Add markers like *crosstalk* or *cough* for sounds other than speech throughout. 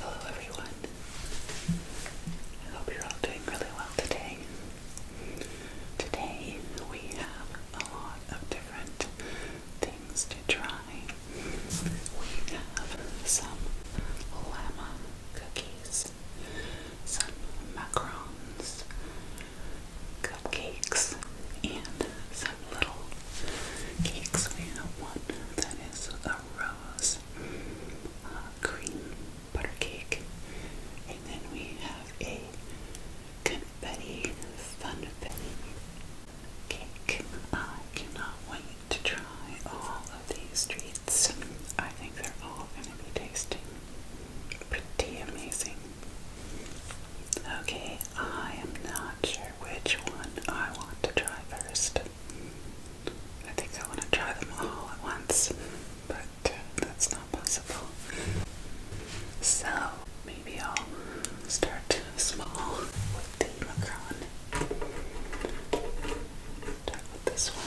Hello everyone. I hope you're all doing really well today. Today we have a lot of different things to try. We have some llama cookies, some macarons, cupcakes, and some little cakes. We have one that is a rose uh, cream butter cake, and then we have a confetti funfetti cake. I cannot wait to try all of these treats. I think they're all going to be tasting pretty amazing. Okay, I am not sure which one I want to try first. I think I want to try them all at once, but uh, that's not possible. So, maybe I'll start small with the Macron. Start with this one.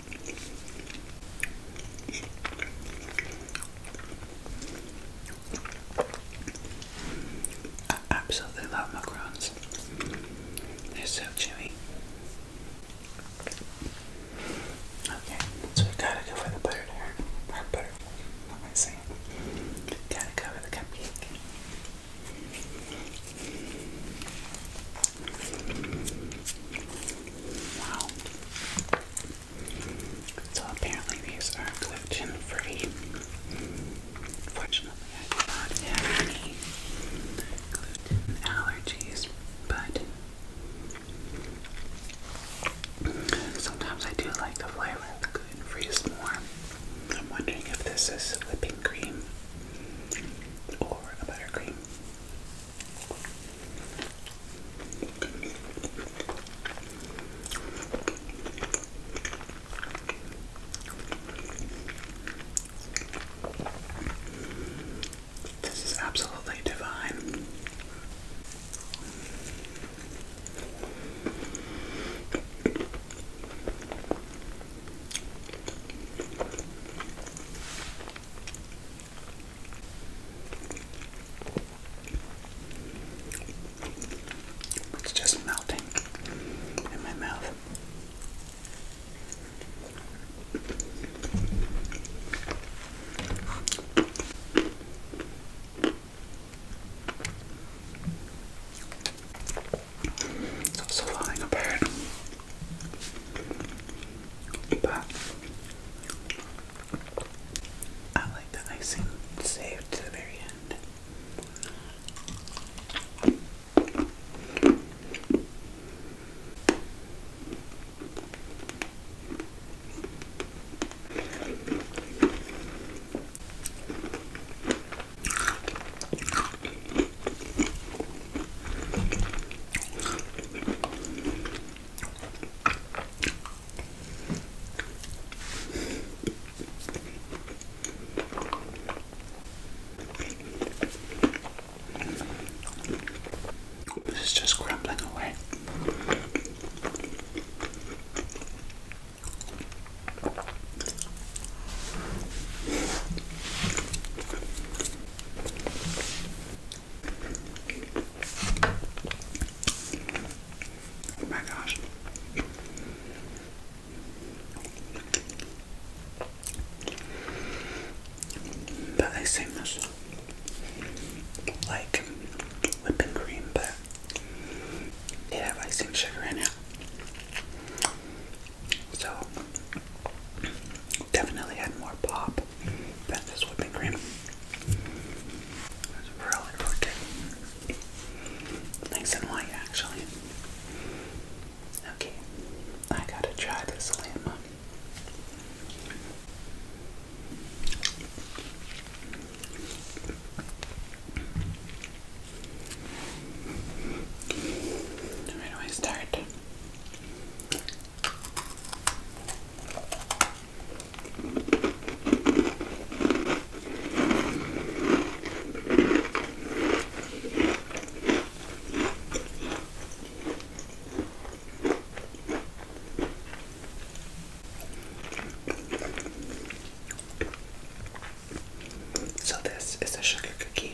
I absolutely love macrons. They're so chewy. Okay, so we gotta go for the butter there. butter, what am I saying? Gotta go for the cupcake. Wow. So apparently these are gluten free. Fortunately, I do not have any gluten allergies, but sometimes I do like the flavor of gluten free more. I'm wondering if this is whipping cream or a buttercream. This is absolutely divine. It's just melting in my mouth. It's also falling apart. But I like the icing saved to the very end. This is just crumbling away. Oh my gosh. But I say like whipping cream, but they have icing sugar in it. So definitely had more pop than this whipping cream. really, really Nice and light actually. Okay, I gotta try this lemon. Where do I start? So, this is a sugar cookie.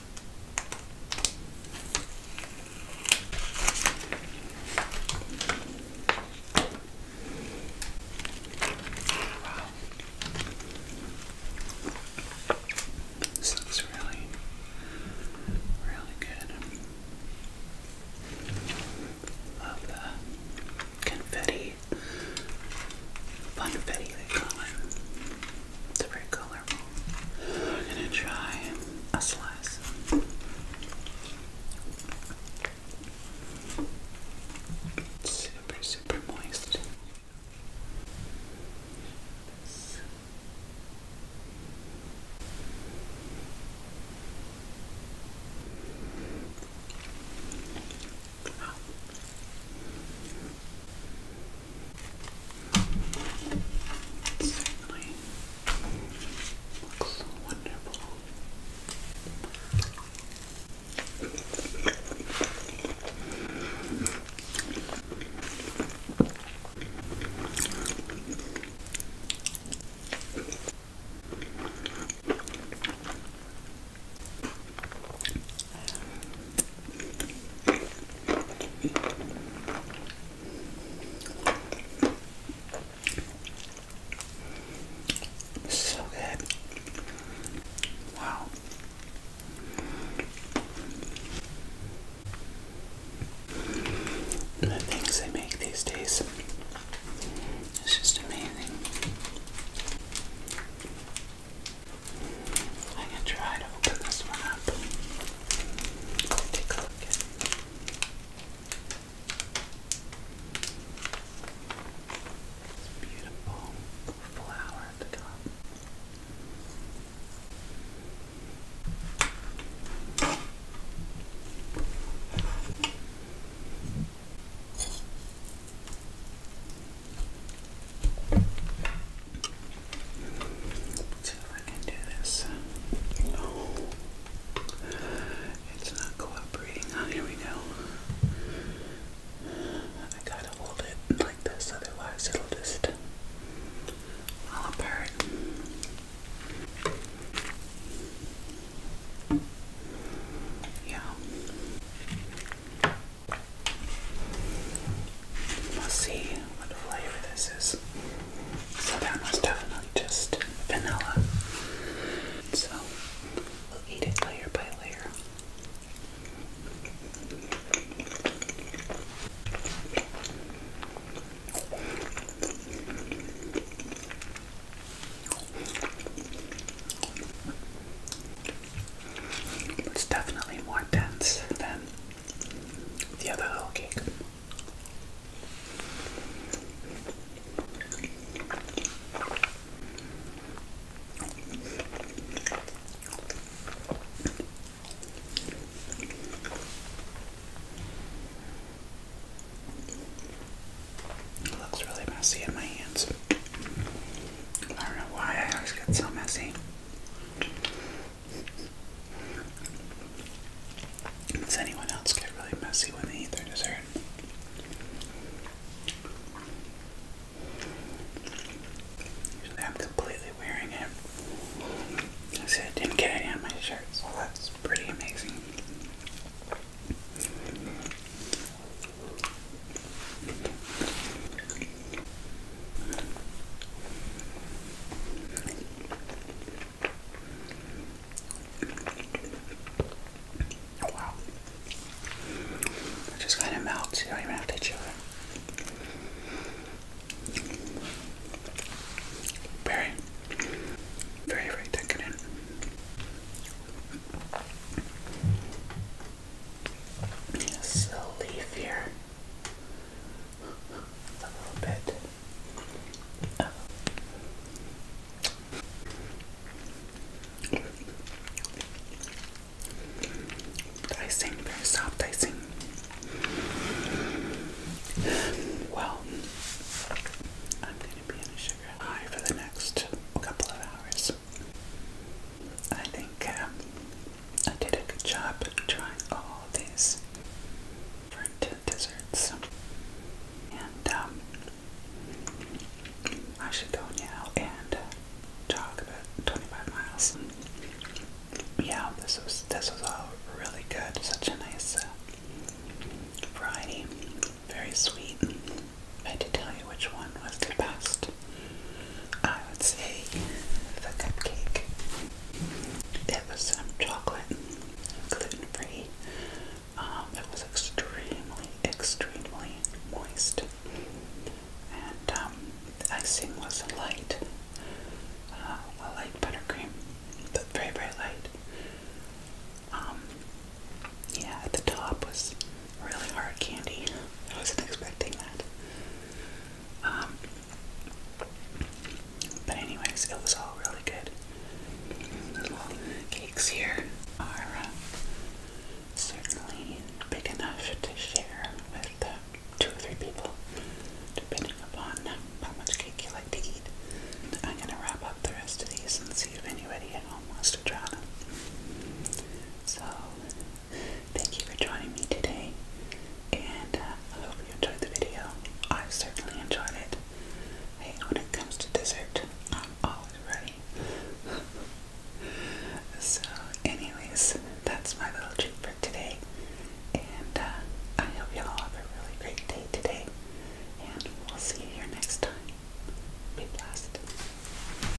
Wow. This looks really, really good. Love the confetti, funfetti they call it. It's very cool. I'm gonna try a slice. Super, super moist. It certainly looks wonderful. So good. Wow. the things they make these days. It's just amazing. I am gonna try to open this one up. beautiful flower at the top see if I can do this. it's not cooperating. Oh, here we go. I gotta hold it like this, otherwise it'll just fall apart. Yeah. Let's see what flavor this is. So that was definitely just vanilla. So we'll eat it layer by layer. It's definitely more dense than the other little cake. It looks really messy in my hands. I don't know why I always get so messy. Does anyone else get really messy when they eat their dessert? I'm completely wearing it. I see I didn't get any on my shirt, so that's pretty amazing. Wow. It just kind of melts, you don't even have to chew it. Very, very, very decadent. Yes, the leaf here. A little bit. Oh. very soft dicing. Well, I'm going to be in a sugar high for the next couple of hours. I think um, I did a good job trying all these different desserts. And um, I should go now and talk uh, about 25 miles. Yeah, this was this was all really good. Such a nice uh, variety, very sweet. I had tell you which one was the best. I would say the cupcake. It was some chocolate, gluten free. Um, it was extremely, extremely moist. And um, the icing was light, uh, a light buttercream, but very, very light. Um, yeah, the top was really hard candy. I wasn't expecting that. Um, but anyways, it was all really good. Little cakes here are uh, certainly big enough to share with uh, two or three people, depending upon how much cake you like to eat. I'm going to wrap up the rest of these and see if anybody at home wants to try them. So Thank you for joining me today, and uh, I hope you enjoyed the video. I certainly enjoyed it. Hey, when it comes to dessert, I'm always ready. *laughs* so, anyways, that's my little treat for today, and uh, I hope you all have a really great day today, and we'll see you here next time. Be blessed.